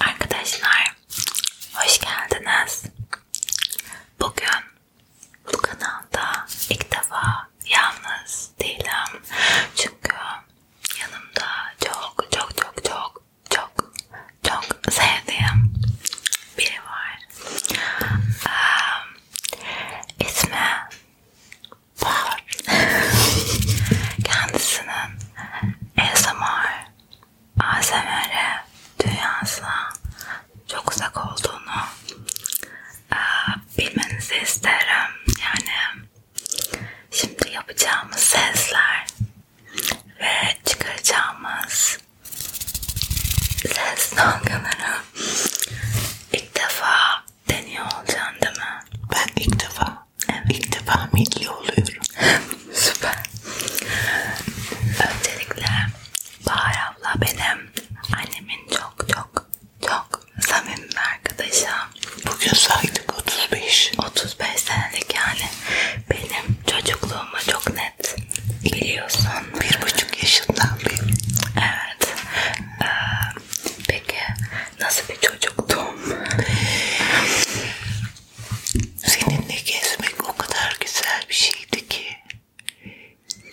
Arkadaşlar hoş geldiniz. Bugün bu kanalda ilk defa yalnız değilim. Çünkü yanımda çok çok çok çok çok çok sevdiğim biri var. Ee, İsmi Bahar. Kendisinin ASMR, ASMR dünyasına çok uzak olduğunu e, bilmenizi isterim. Yani şimdi yapacağımız sesler ve çıkaracağımız ses dalgaları İlk defa deniyor olacaksın değil mi? Ben ilk defa. Evet. İlk defa milli oluyorum. Süper. Öncelikle Bahar abla benim annemin çok çok çok samimi arkadaşım. Bugün saydık 35. 35 senelik yani. Benim çocukluğuma çok net Biliyorsun. Bir buçuk yaşından beri. Evet. Ee, peki nasıl bir çocuktum? Seninle gezmek o kadar güzel bir şeydi ki.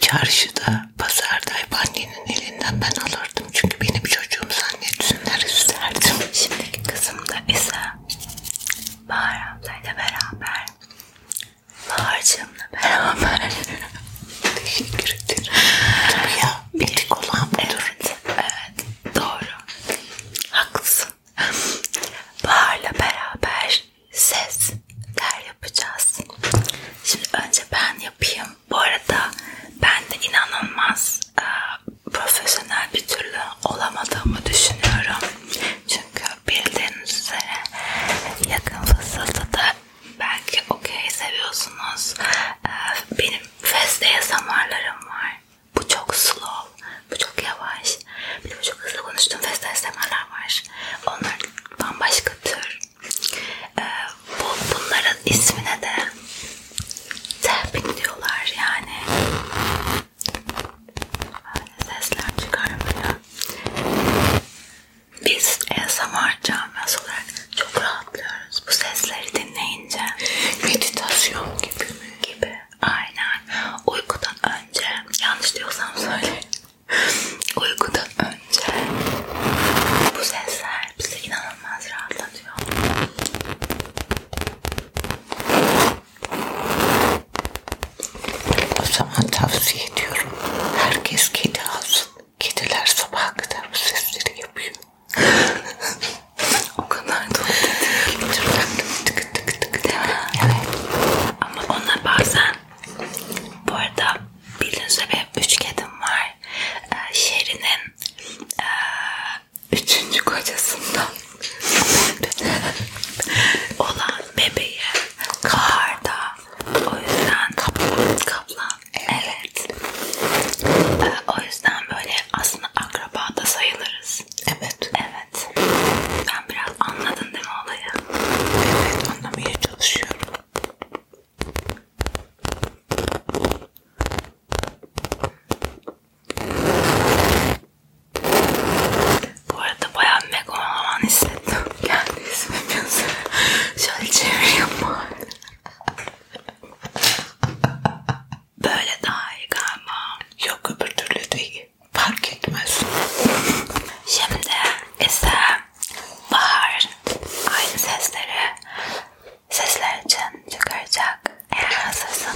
Çarşıda, pazarda hep annenin elinden ben alırdım. Çünkü benim çocuğum zannetsinler isterdim. Şimdiki kızım da ise Bahar ablayla beraber Harcımla beraber. Teşekkür ederim. Tabii ya. Bir tek olan budur. Evet, evet. Doğru. Haklısın. Bahar'la beraber ses der yapacağız. Şimdi önce ben yapayım. Bu arada ben de inanılmaz e, profesyonel bir türlü olamadığımı düşünüyorum. Çünkü bildiğiniz üzere yakın fısıltıda belki okey seviyorsunuz. Ee, benim feste ASMR'larım var. Bu çok slow, bu çok yavaş. Bir de çok hızlı konuştuğum feste ASMR'lar var. Onlar bambaşka tür. Ee, bu, bunların ismine de tapping diyorlar yani. Böyle sesler çıkarmıyor. Biz ASMR camiası olarak çok rahatlıyoruz bu sesleri dinleyince. Meditasyon gibi mi? Gibi. Aynen. Uykudan önce, yanlış diyorsam söyle. Uykudan önce bu sesler bizi inanılmaz rahatlatıyor. O zaman tavsiye ediyorum. Herkes kedi alsın. Kediler sabaha kadar bu sesleri yapıyor. o kadar da tık tık tık tık. Evet. Ama onlar bazen bu arada bildiğiniz üzere üç kedim var. Ee, Şeri'nin ee, üçüncü kocasından olan bebeği karda. O yüzden kaplan. kaplan. Evet. Ee, o yüzden böyle aslında akraba da sayılırız. Evet. Evet. Ben biraz anladın değil mi olayı? Evet anlamaya çalışıyorum. Bu arada bayağı megaloman hissettim. Kendi ismim yazıyor. Şöyle çevireyim bari. Böyle daha iyi galiba. Yok öbür türlü değil. Fark etmez. Şimdi ise bahar aynı sesleri sesler için çıkaracak. Eğer hazırsanız.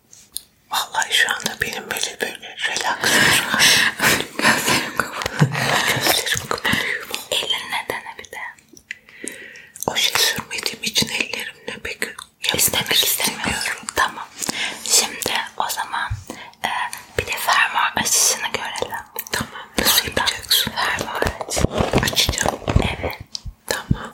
Vallahi şu anda benim böyle böyle relax Gözlerim kapalı. Gözlerim kapanıyor. Eline dene bir de. O şey sürmediğim için ellerimle pek yapmak İstemek istemiyorum. Tamam. Şimdi o zaman e, bir de fermuar açışını görelim. Tamam. Nasıl yapacaksın? Fermuar açı. Açacağım. Evet. Tamam.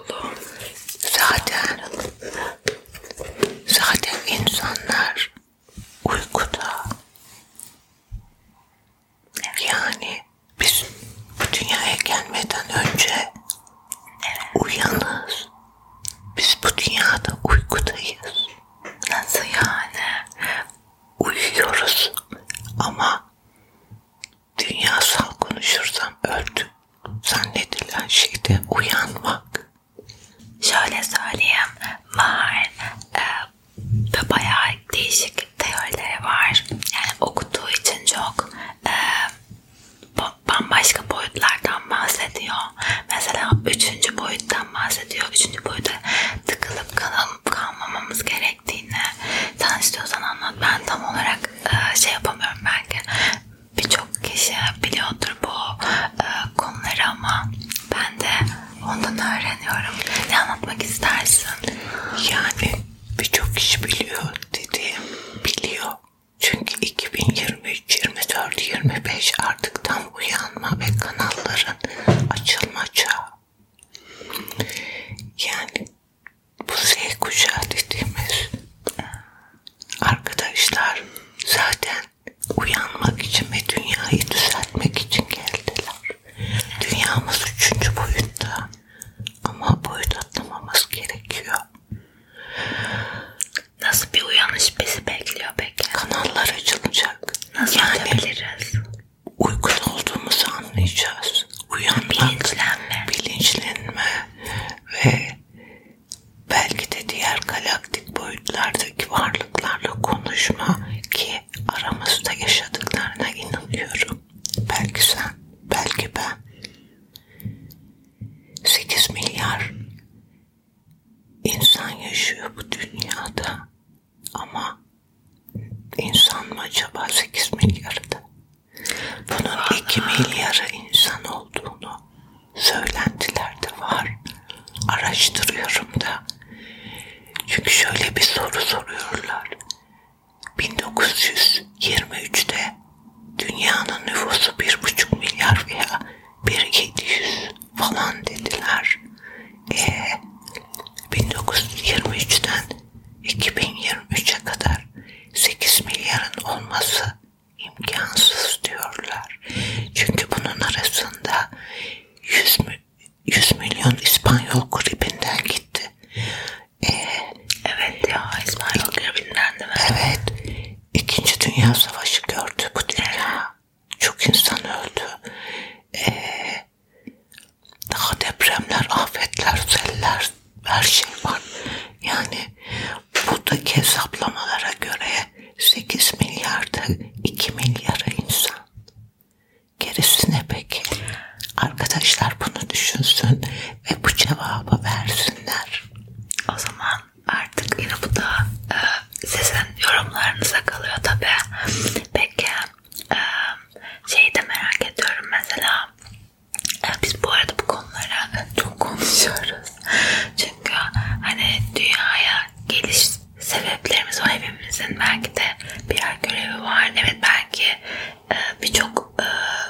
oldu. Zaten zaten insanlar uykuda. Evet. Yani biz bu dünyaya gelmeden önce evet. uyanız. Biz bu dünyada uykudayız. Nasıl yani? Uyuyoruz ama Dünya san konuşursam öldüm. Zannedilen şeyde uyanmak. Şöyle söyleyeyim. Var. E, bayağı değişik teorileri var. Yani okuduğu için çok e, bambaşka boyutlardan bahsediyor. Mesela üçüncü boyuttan bahsediyor. Üçüncü boyuta tıkılıp kalıp kalmamamız gerek gerektiğini sen istiyorsan anlat. Ben tam olarak e, şey yapamıyorum belki. Birçok kişi biliyordur bu e, konuları ama ben de ondan öğreniyorum. Ne anlatmak istersin? Yani birçok kişi biliyor dediğim biliyor. Çünkü 2023, 24, 25 artık tam uyanma ve kanalların açılmaca. Yani bu Z kuşağı dediğimiz e, arkadaşlar zaten uyanmak için ve dünyayı düzeltmek için geldiler. Dünyamız üçüncü boyutta ama boyut atlamamız gerekiyor. Nasıl bir uyanış bizi bekliyor peki? Kanallar açılacak. Nasıl yani, yapabiliriz? uygun olduğumuzu anlayacağız. Uyanmak, bilinçlenme. bilinçlenme ve belki de diğer galaktik boyutlardaki varlıklarla konuşma ki aramızda yaşadıklarına inanıyorum. Belki sen, belki ben. 8 milyar insan yaşıyor bu dünyada ama insan mı acaba 8 milyarda? Bunun Allah. 2 milyarı insan olduğunu söylentiler de var. Araştırıyorum da. Çünkü şöyle bir soru soruyorlar. 1923'te dünyanın nüfusu 1,5 milyar veya 1,700 falan dediler. E, 1923'ten 2023'e kadar 8 milyarın olması imkansız diyorlar. Çünkü bunun arasında 100, 100 milyon İspanyol gribinden gitti. Ee, evet ya İspanyol gribinden değil mi? Evet. İkinci Dünya Savaşı gördü bu dünya. Çok insan öldü. Ee, daha depremler, afetler, seller, her şey var. Yani buradaki hesaplamalara göre 8 milyarda 2 milyara insan. Gerisi ne peki? Arkadaşlar bunu düşünsün ve bu cevabı versinler. O zaman artık yine bu da e, sizin yorumlarınıza kalıyor tabi. Peki ee, şeyi de merak ediyorum mesela e, biz bu arada bu konulara çok konuşuyoruz çünkü hani dünyaya geliş sebeplerimiz var hepimizin belki de birer görevi var evet belki e, birçok e,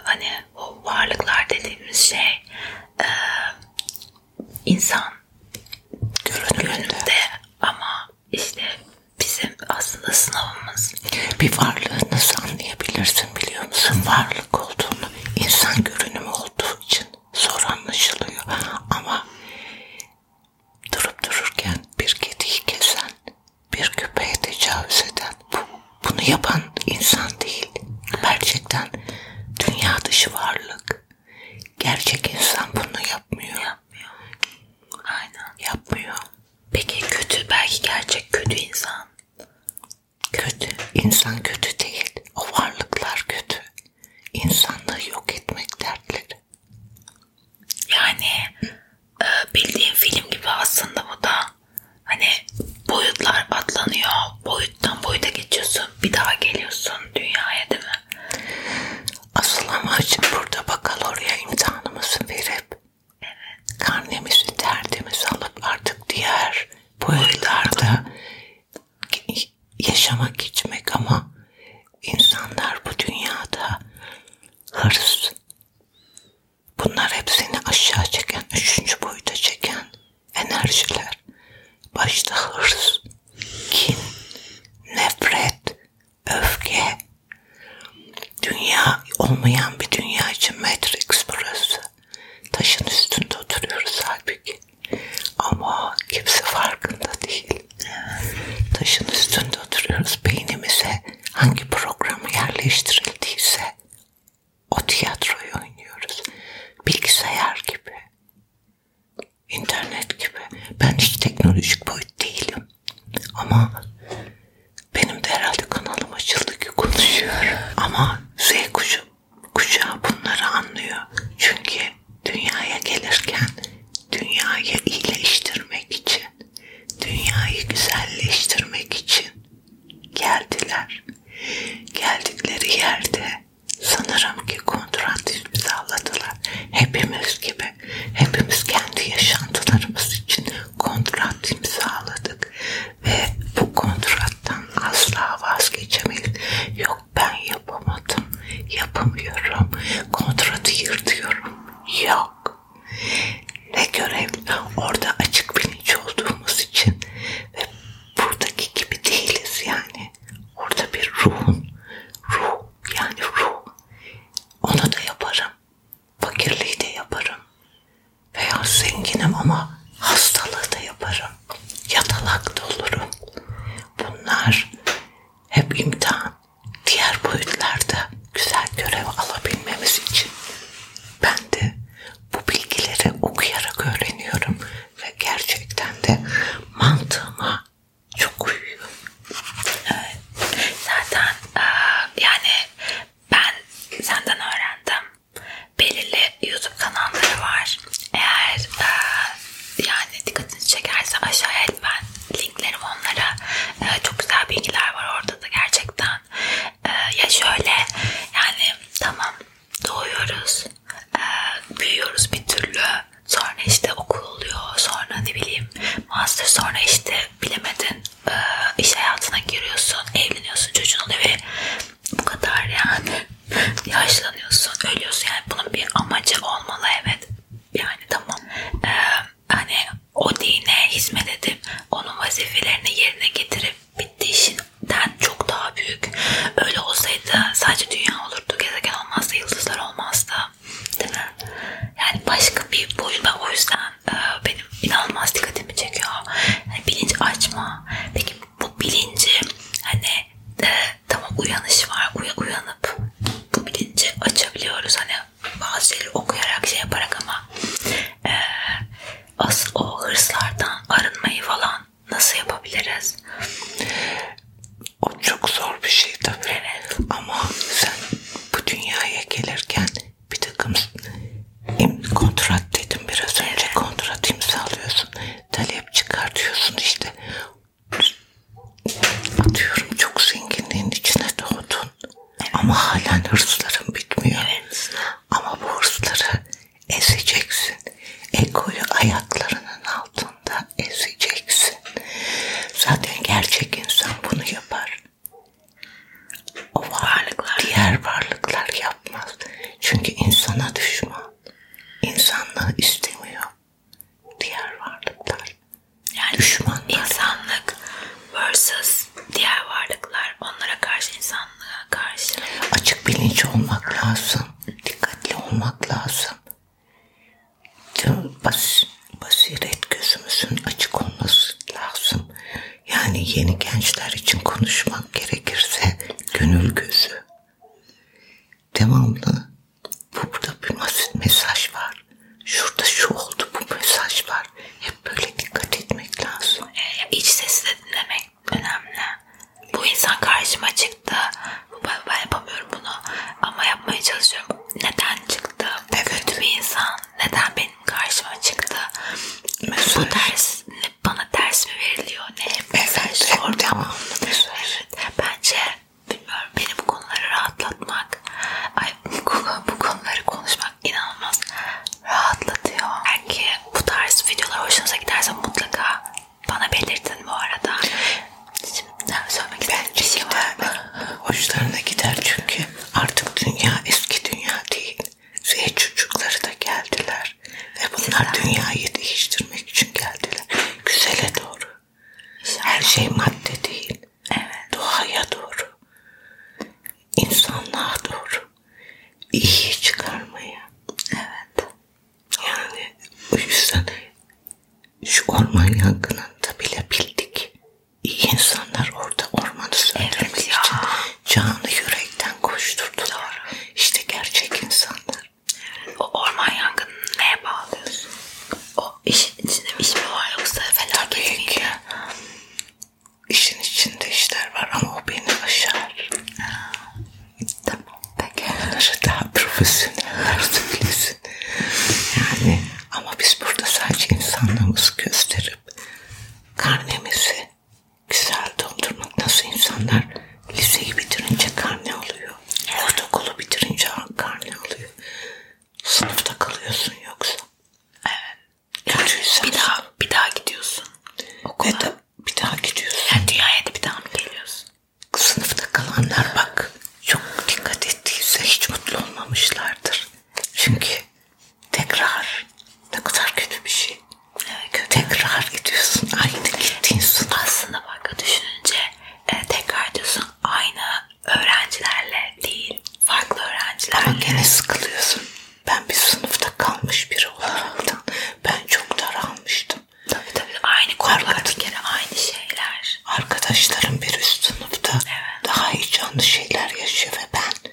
hani o varlıklar dediğimiz şey insan görünümde ama işte bizim aslında sınavımız. Bir varlığı nasıl anlayabilirsin biliyor musun? Varlık olduğunu, insan görünümü olduğu için zor anlaşılıyor. Ama durup dururken bir kediyi kesen, bir köpeğe tecavüz eden, bu, bunu yapan insan değil. Gerçekten dünya dışı varlık. Gerçek insan bunu yapmıyor. yapmıyor. Aynen yapmıyor. Peki kötü belki gerçek kötü insan. Kötü. İnsan kötü değil. O varlıklar kötü. İnsanları yok etmek dertleri. Yani e, bildiğin film gibi aslında bu da. Hani boyutlar atlanıyor. Boyuttan boyuta geçiyorsun. Bir daha geliyorsun dünyaya değil mi? Asıl amacım burada bakalorya imtihanımızı verip evet. karnemizi, derdimizi alıp artık diğer boyutlarda yaşamak, geçmek ama insanlar bu dünyada hırs, bunlar hep seni aşağı çeken, üçüncü boyuta çeken enerjiler. Başta hırs, kin, nefret, öfke. Dünya olmayan bir dünya için Matrix burası. Taşın üstünde oturuyoruz halbuki. Ama kimse farkında değil. Taşın üstünde oturuyoruz. Beynimize hangi program yerleştirildiyse o tiyatroyu oynuyoruz. Bilgisayar gibi internet gibi. Ben hiç teknolojik boyut değilim. Ama benim de herhalde kanalım açıldı ki konuşuyorum. Ama Z kuşu, kuşağı bunları anlıyor. Çünkü dünyaya gelirken dünyayı iyileştirmek için, dünyayı güzelleştirmek için geldiler. Geldikleri yerde Sanırım ki kontrat imzaladılar. Hepimiz gibi. Hepimiz kendi yaşantılarımız için kontrat imzaladık. Ve bu kontrattan asla vazgeçemeyiz. Yok ben yapamadım. Yapamıyorum. Kontratı yırtıyorum. Yok. Ne görev? Orada açık bilinç olduğumuz için ve buradaki gibi değiliz yani. Orada bir ruhun, ruh yani ruh. Onu da yaparım. Fakirliği de yaparım. Veya zenginim ama hastalığı da yaparım. Yatalak da olurum. Bunlar hep imtihan. Diğer boyutlarda güzel görev alabilmemiz için ben de bu bilgileri okuyarak öğreniyorum ve gerçekten de mantığıma çok uyuyor. Evet. Zaten e, yani ben senden öğrendim. Belirli YouTube kanalları var. Eğer e, yani dikkatinizi çekerse aşağıya ben linklerim onlara. E, çok güzel bilgiler var orada da gerçekten. Ya şöyle yani tamam doğuyoruz e, büyüyoruz bir türlü. Sonra işte okul oluyor, sonra ne bileyim master, sonra işte bilemedin e, iş hayatına giriyorsun, evleniyorsun, çocuğun oluyor ve bu kadar yani yaşlanıyorsun, ölüyorsun yani bunun bir amacı olmalı evet. Yani tamam e, hani o dine hizmet edip onun vazifelerini yerine getirip bitti işinden evren çok daha büyük. Öyle olsaydı sadece dünya olurdu, gezegen olmazdı, yıldızlar olmazdı. Değil mi? Yani başka bir boyun ve o yüzden e, benim inanılmaz dikkatimi çekiyor. Yani bilinç açma. Peki bu bilinci hani e, tamam uyanış var. Uya, uyanıp bu bilinci açabiliyoruz. Hani bazı şeyleri okuyarak şey yaparak ama e, asıl o hırslardan arınmayı falan nasıl yapabiliriz? O çok zor bir şey tabii. Evet. Ama sen bu dünyaya gelirken bir takım kontrat dedim biraz önce evet. kontrat imzalıyorsun. Talep çıkartıyorsun işte. Atıyorum çok zenginliğin içine doğdun. Evet. Ama halen hırsların bitmiyor. Evet. Ama bu hırsları ezeceksin. Egoyu ayaklarının altında ezeceksin. Zaten gerçek insan bunu yapar. O varlıklar diğer varlıklar yapmaz. Çünkü insana düşman. İnsanlığı istemiyor. Diğer varlıklar. Yani Düşmanlar. insanlık versus diğer varlıklar. Onlara karşı insan insanlığa karşı. Açık bilinç olmak lazım. Dikkatli olmak lazım. Bas, basiret gözümüzün açık olması lazım. Yani yeni gençler için konuşmak gerekirse gönül gözü. Devamlı burada bir mesaj var. Şurada şu oldu bu mesaj var. Hep böyle dikkat etmek lazım. E, iç sesi de dinlemek önemli. Bu insan karşıma çıktı. Ben, ben yapamıyorum bunu ama yapmaya çalışıyorum. Neden çıktı? Evet. Kötü bir insan neden benim karşıma çıktı? Mesaj. Bu ders bana ders mi veriliyor? Ne? Evet, mesaj evet, orada. Tamam. Mesaj. Şey evet. Bence bilmiyorum beni bu konuları rahatlatmak ay bu, bu konuları konuşmak inanılmaz rahatlatıyor. Belki bu tarz videolar hoşunuza giderse mutlaka bana belirtin bu arada. Şimdi söylemek istediğim bir şey var mı? Hoşlarına gider çünkü artık dünya eski dünya değil. Z çocukları da geldiler ve bunlar Sizden. dünyayı değiştirmek için geldiler. Güzele doğru. İnşallah. Her şey madde değil. Evet. Doğaya doğru. İnsanlığa doğru iyi çıkarmayı. Evet. Yani o yüzden şu orman yangınında bile bildik. İyi insanlar orada ormanı söndürmek evet ya. için canı yürekten koşturdular. Doğru. İşte gerçek insanlar. Evet, o orman yangınını neye bağlıyorsun? O işin içinde bir iş mi var yoksa felaket Tabii ki işin içinde işler var ama o beni aşar. tamam peki. Bunları daha profesyoneller söylesin. Yani ama biz burada sadece insanlığımızı gösterip karnemizi güzel doldurmak nasıl insanlar liseyi bitirince karne alıyor. Ortaokulu bitirince karne alıyor. Sınıfta kalıyorsun yoksa. Evet. Yani bir şey. daha bir daha gidiyorsun. Okula. Ve de bir daha gidiyorsun. Yani dünyaya da bir daha mı geliyorsun? Sınıfta kalanlar bak çok dikkat ettiyse hiç mutlu olmamışlardır. Çünkü tekrar ne kadar kötü bir şey. Evet, kötü. Tekrar gidiyorsun. Aynı gittiğin sınıf. Aslında bak düşününce e, tekrar diyorsun aynı öğrencilerle değil farklı öğrencilerle. Ama gene sıkılıyorsun ben bir sınıfta kalmış biri olaraktan ben çok daralmıştım. Tabii tabii aynı konular bir kere aynı şeyler. Arkadaşlarım bir üst sınıfta evet. daha heyecanlı şeyler yaşıyor ve ben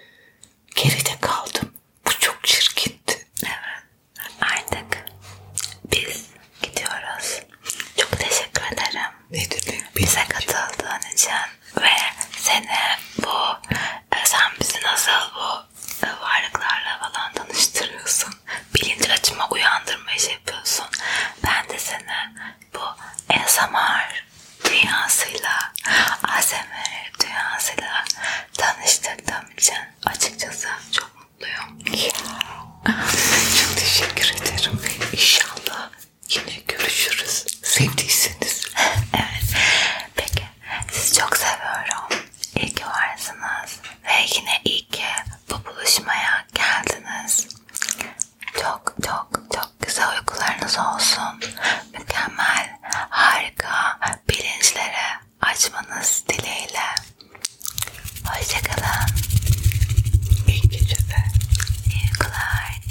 geride kaldım. Bu çok çirkindi. Evet artık biz gidiyoruz. Çok teşekkür ederim. Ne demek? Bize katıldığın için ve seni bu e, sen bizi nasıl bu e, varlıklarla falan tanıştırıyorsun. Bilinç açma uyandırma iş yapıyorsun. Ben de seni bu ASMR dünyasıyla ASMR dünyasıyla tanıştırdığım için açıkçası çok mutluyum. çok teşekkür ederim. İnşallah yine görüşürüz. Sevdiyseniz. evet. Peki sizi çok seviyorum. İyi ki varsınız. Ve yine iyi ki bu buluşmaya geldiniz. Çok çok çok güzel uykularınız olsun. Mükemmel, harika bilinçlere açmanız dileğiyle. Hoşçakalın. İyi geceler. İyi uykular.